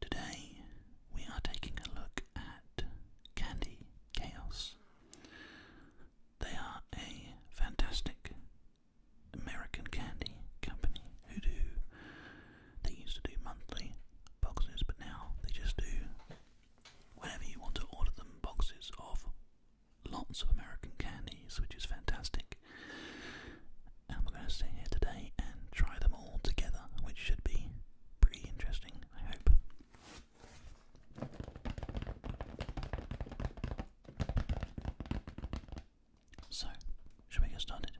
Today we are taking a look at Candy Chaos. They are a fantastic American candy company who do, they used to do monthly boxes, but now they just do, whenever you want to order them, boxes of lots of American candies, which is fantastic. And we're going to sit here today and try them all together, which should be pretty interesting, I hope. So, shall we get started?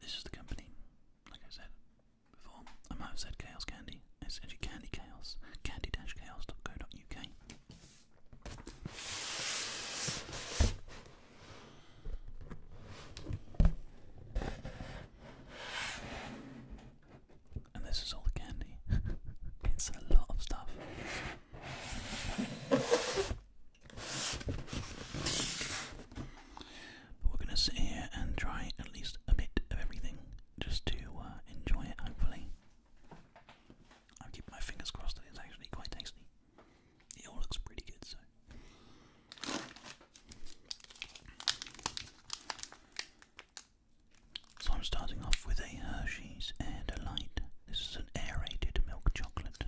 This is the company, like I said before. I might have said Chaos Candy. It's actually Candy Chaos, candy-chaos.co.uk. And this is all the candy. it's a lot of stuff. But we're going to sit here and try at least a bit of everything just to uh, enjoy it, hopefully. I'm my fingers crossed that it's actually quite tasty. It all looks pretty good, so. So I'm starting off with a Hershey's and a light this is an aerated milk chocolate.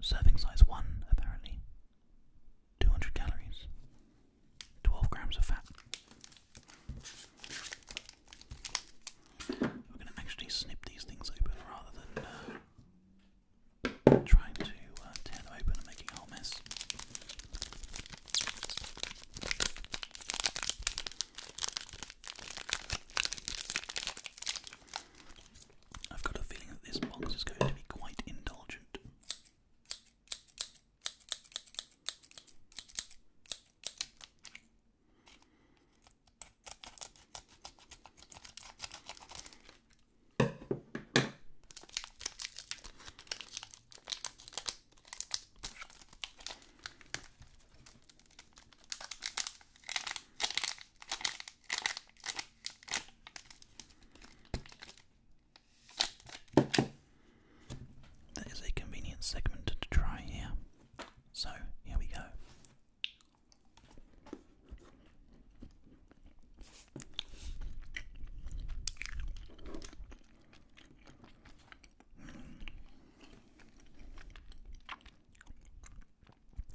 Serving size 1, apparently. 200 calories. 12 grams of fat. We're going to actually snip these things open rather than uh, trying to uh, tear them open and make a mess. I've got a feeling that this box is going to be quite indulgent. That is a convenient segment to try here. So here we go.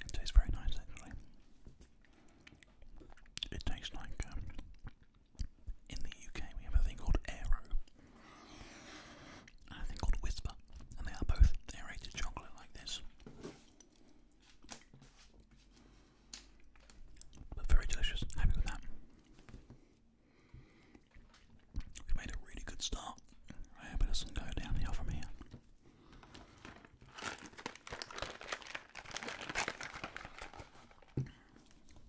It tastes very nice actually. It tastes like um, in the UK we have a thing called Aero and a thing called Whisper, and they are both aerated chocolate like this, but very delicious. Happy with that. We made a really good start. I hope it doesn't go downhill from here.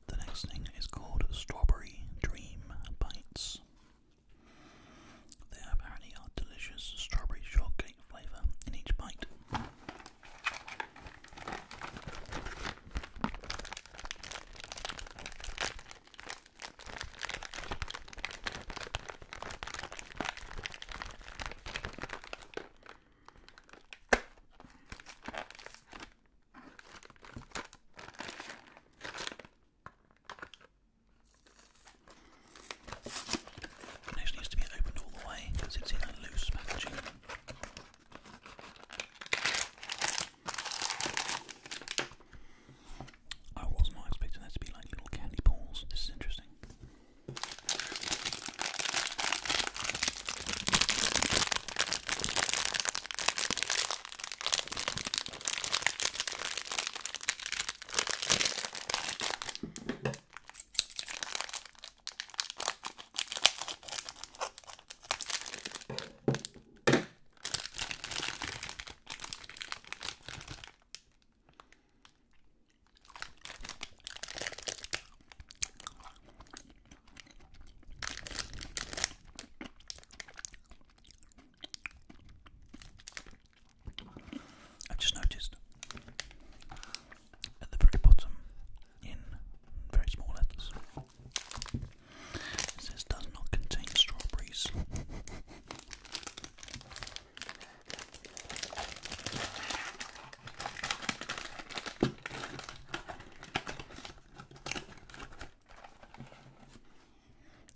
The next thing is called Strawberry Dream Bites. They apparently are delicious strawberry shortcake flavour in each bite. This needs to be opened all the way because it's in a loose packaging. I was not expecting there to be like little candy balls. This is interesting. I just noticed at the very bottom, in very small letters, this does not contain strawberries.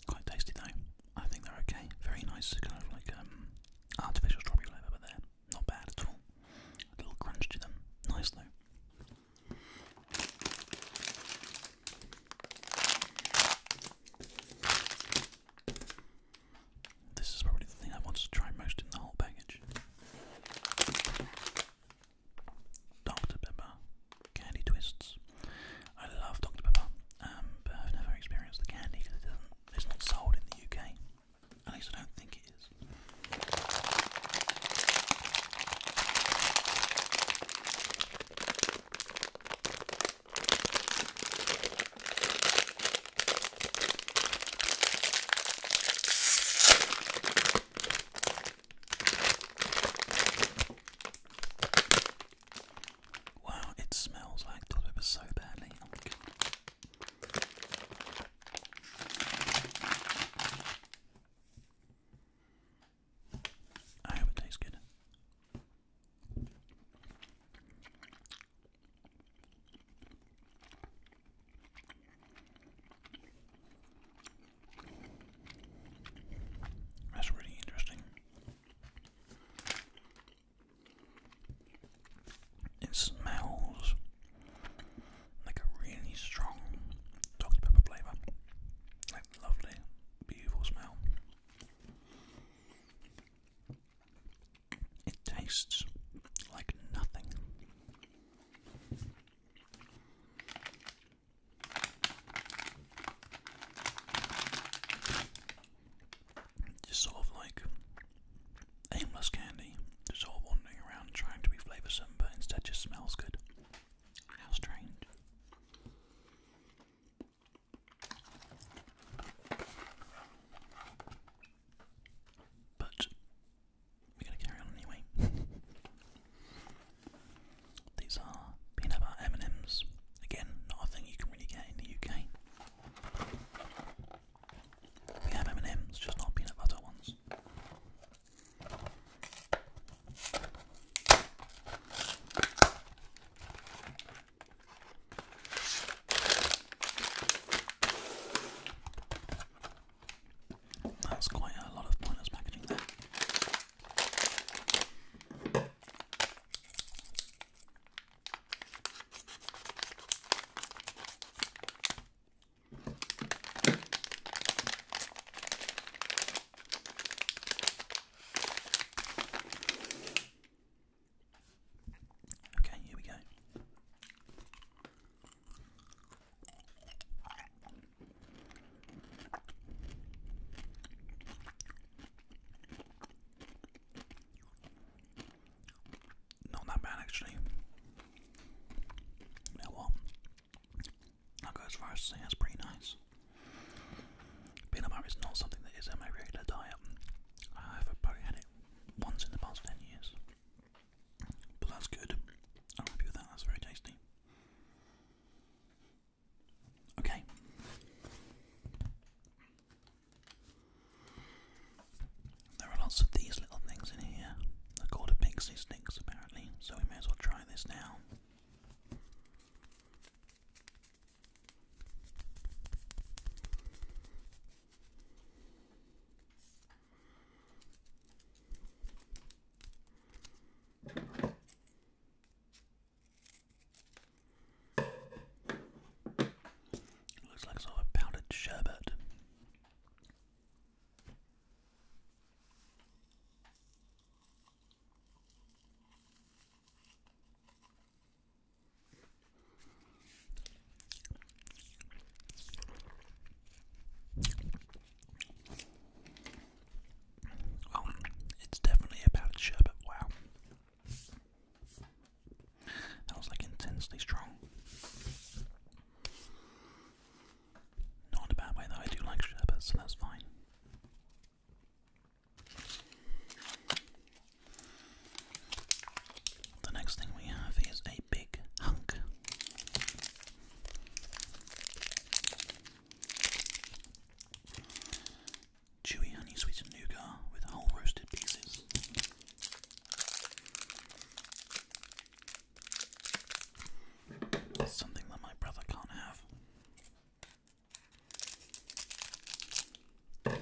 Quite tasty though. I think they're okay. Very nice, kind of like um, artificial strawberry flavour, but they're not bad at all. A little crunch to them. Nice though. This is probably the thing I want to try most in the whole package. Dr. Pepper candy twists. I love Dr. Pepper, um, but I've never experienced the candy because it doesn't, it's not sold in the UK. At least I don't think is. Wow, it smells like toilet paper so badly. Oh I hope it tastes good. That's really interesting. It smells like a really strong Dr. Pepper flavour. Like lovely, beautiful smell. It tastes like nothing. Just sort of like aimless candy, just sort of wandering around trying to be flavoursome, but instead just smells good. How strange. But we're gonna carry on anyway. These are peanut butter M&Ms. Again, not a thing you can really get in the UK. We have M&Ms, just not peanut butter ones. That's quite a lot of pointless packaging there. Okay, here we go. Not that bad, actually. You what? I'll go that's pretty nice. Peanut butter is not something that is in my regular diet. I've probably had it once in the past 10 years. But that's good. I'm happy with that, that's very tasty. Okay. There are lots of these little things in here. They're called a pixie's apparently, so we may as well try this now. looks like sort of a powdered sherbet. Well, oh, it's definitely a powdered sherbet. Wow. That was like intensely strong. Not a bad way though, I do like sherbet, so that's fine. The next thing we have is a big hunk. Chewy honey sweetened nougat with whole roasted pieces. That's something that my brother can't have. But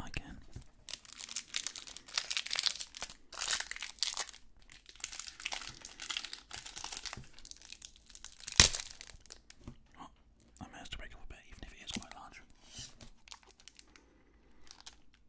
I can. I managed to break up a bit, even if it is quite large.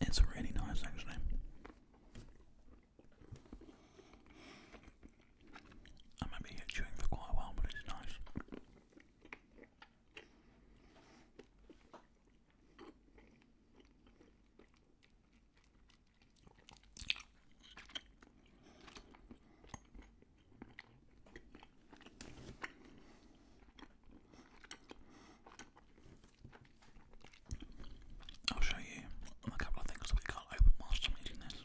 It's really nice actually. I might be chewing for quite a while, but it's nice. I'll show you a couple of things that we can't open whilst I'm eating this.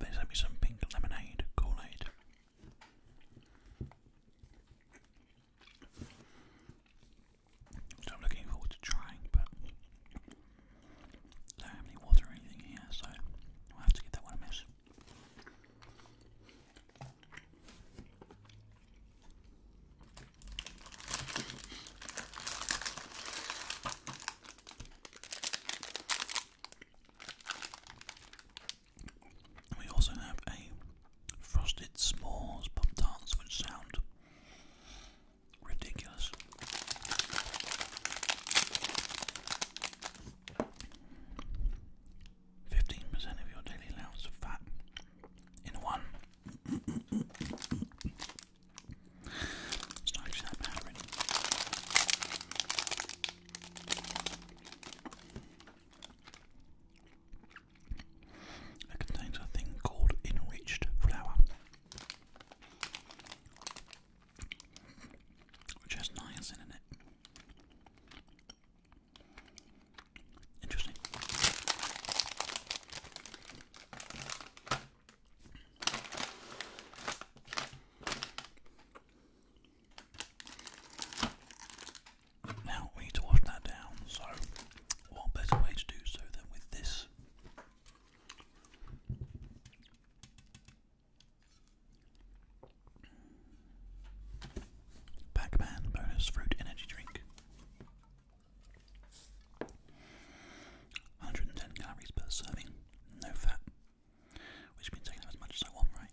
They sent me some pink lemonade, kool So I'm looking forward to trying, I don't have any water or anything here, so we have to get that one a miss. We also have a frosted s'mores pop tarts, which sound Ridiculous. Fifteen percent of your daily allowance of fat in one. it's not actually that bad, really. It contains a thing called enriched flour. Which has in it. Interesting. Now we need to wash that down, so what better way to do so than with this Pac-Man bonus fruit energy drink. 110 calories per serving, no fat. Which means I can have as much as I want, right?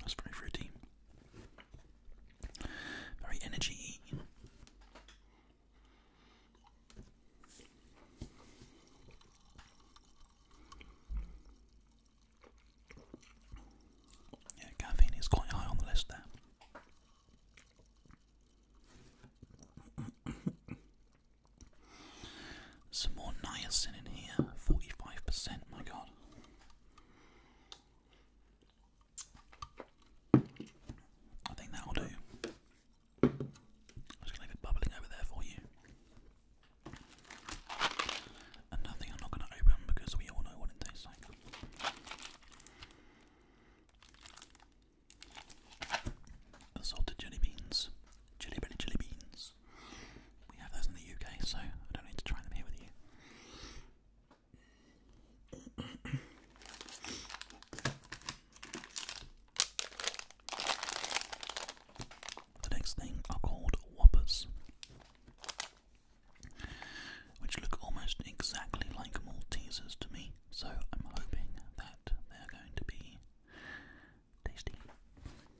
That's very fruity. Very energy. Yeah, caffeine is quite high on the list there. Some more niacin in here, 45%, my god. I think that'll do. I'm just gonna leave it bubbling over there for you. And nothing I'm not gonna open because we all know what it tastes like. Assorted jelly beans. Jelly belly jelly beans. We have those in the UK, so I don't need to try them here with you. The next thing are called Whoppers, which look almost exactly like Maltesers to me, so I'm hoping that they're going to be tasty.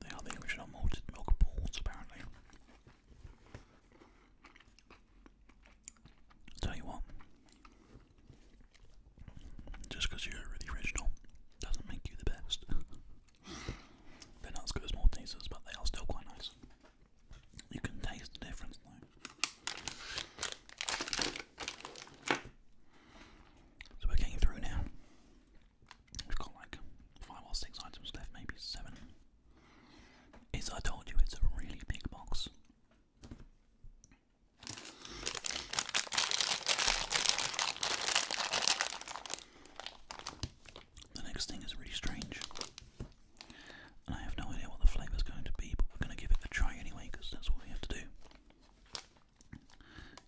They are the original malted milk balls, apparently. tell you what, just because you're really original doesn't make you the best. They're not as good as Maltesers, but they are still quite nice. You can taste the difference, so we're getting through now. We've got like five or six items left, maybe seven. As I told you, it's a really big box. The next thing is really strange. And I have no idea what the flavour is going to be, but we're going to give it a try anyway because that's what we have to do.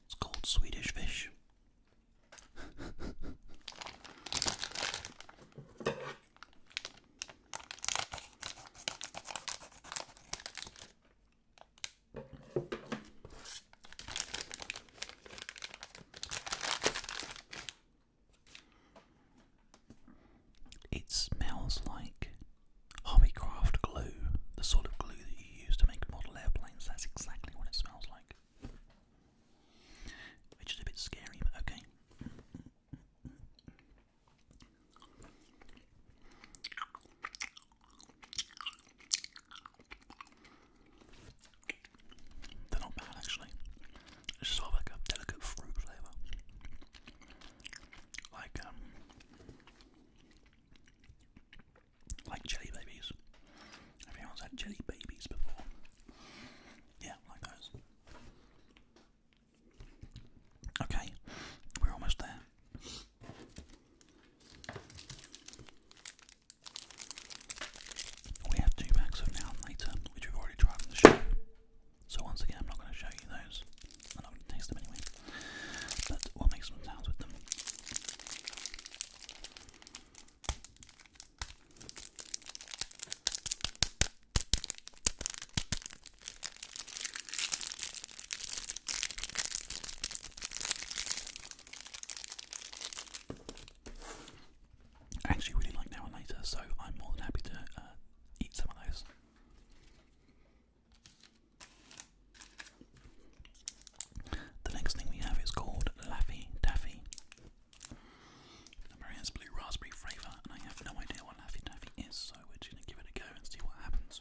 It's called Swedish fish. It smells like craft glue, the sort of glue that you use to make model airplanes, that's exactly what it smells like. Which is a bit scary, but okay. They're not bad actually. It's sort of like a delicate fruit flavour. Like um like jelly babies. Everyone's had jelly babies before. Yeah, like those. Okay, we're almost there. We have two packs of now and later, which we've already tried in the show. So once again, I'm not going to show you those. I'm not going to taste them anyway. But we'll make some sounds with them. actually really like now and later, so I'm more than happy to uh, eat some of those. The next thing we have is called Laffy Taffy. The Maria's blue raspberry flavour, and I have no idea what Laffy Taffy is, so we're just going to give it a go and see what happens.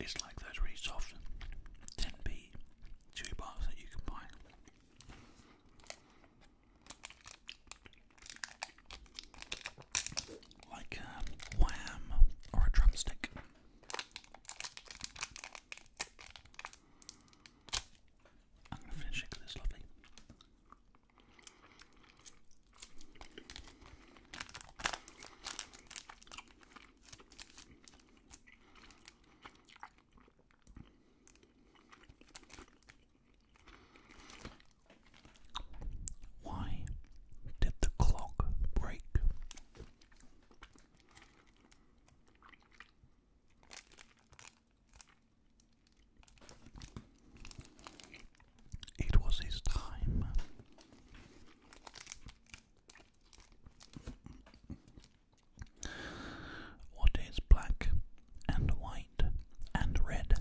It's like those really soft 10p chewy bars that you can buy. Like a wham or a drumstick. I'm going to finish it it's lovely. Why did the clock break? It was his time. What is black and white and red?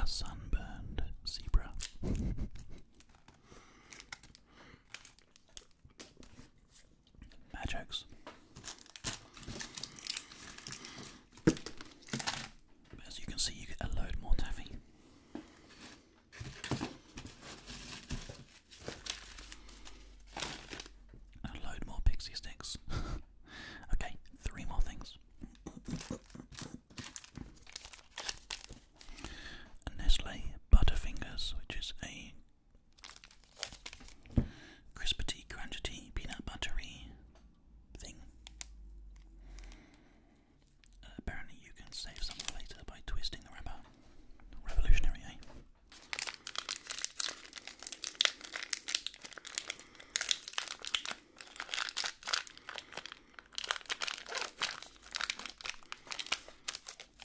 A sunburned zebra. Bad as you can see, you get a load more taffy. A load more pixie sticks. okay, three more things. Nestle Butterfingers, which is a crispity, crunchity, peanut buttery thing apparently, you can save some later by twisting the wrapper. Revolutionary, eh?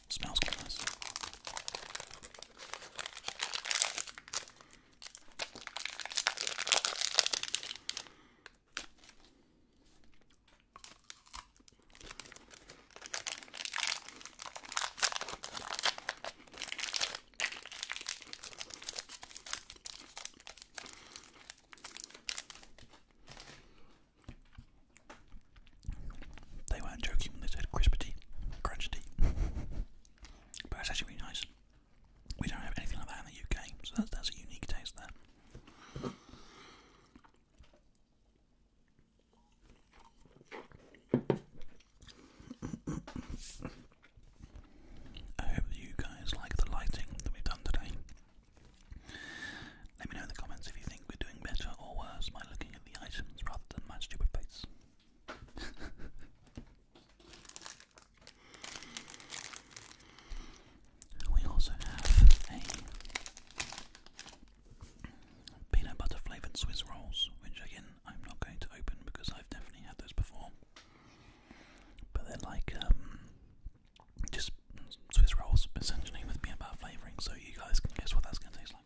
Smells quite they weren't joking when they said crispy, crunchity, but it's actually really nice. We don't have anything like that in the UK, so that's, a unique taste there. I hope you guys like the lighting that we've done today. Let me know in the comments if you think we're doing better or worse by looking at the items rather than my stupid face. We also have a peanut butter flavoured Swiss rolls, which again I'm not going to open because I've definitely had those before. But they're like um, just Swiss rolls essentially with peanut butter flavouring, so you guys can guess what that's going to taste like.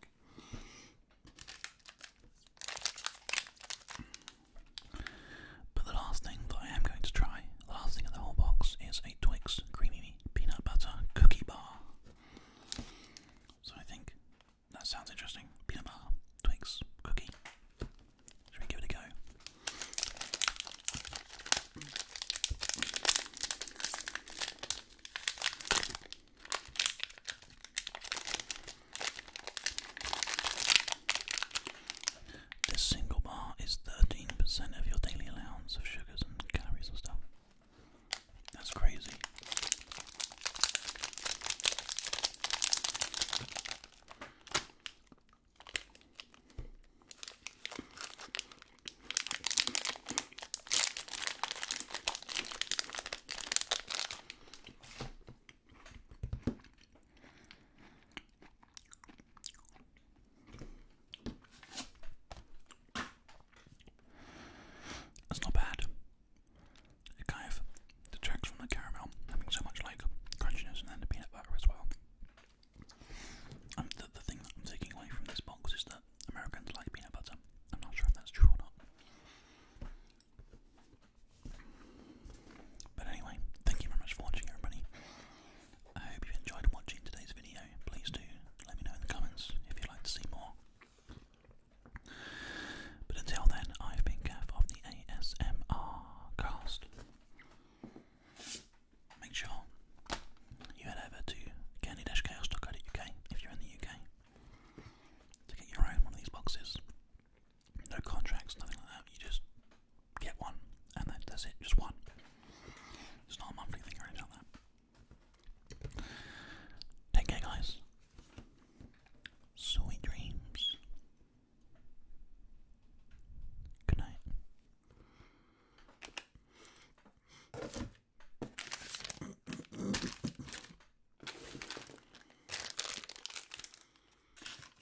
But the last thing that I am going to try, the last thing in the whole box, is a Twix Creamy Peanut Butter Cookie Bar. So I think that sounds interesting. Peanut butter, Twix, cookie. Should we give it a go? This single bar is 13% of your daily allowance of sugars and calories and stuff. That's crazy. That's not bad. It kind of detracts from the caramel, having so much like crunchiness and then the peanut butter as well. And um, the thing that I'm taking away from this box is that Americans like peanut butter. I'm not sure if that's true or not. But anyway, thank you very much for watching, everybody. I hope you enjoyed watching today's video. Please do let me know in the comments if you'd like to see more. But until then, I've been Gav of the ASMR cast. Make sure you head over to candy if you're in the UK to get your own one of these boxes. No contracts, nothing like that. You just get one, and that's it, just one. It's not a monthly thing or anything like that. Take care, guys. Sweet dreams. Good night.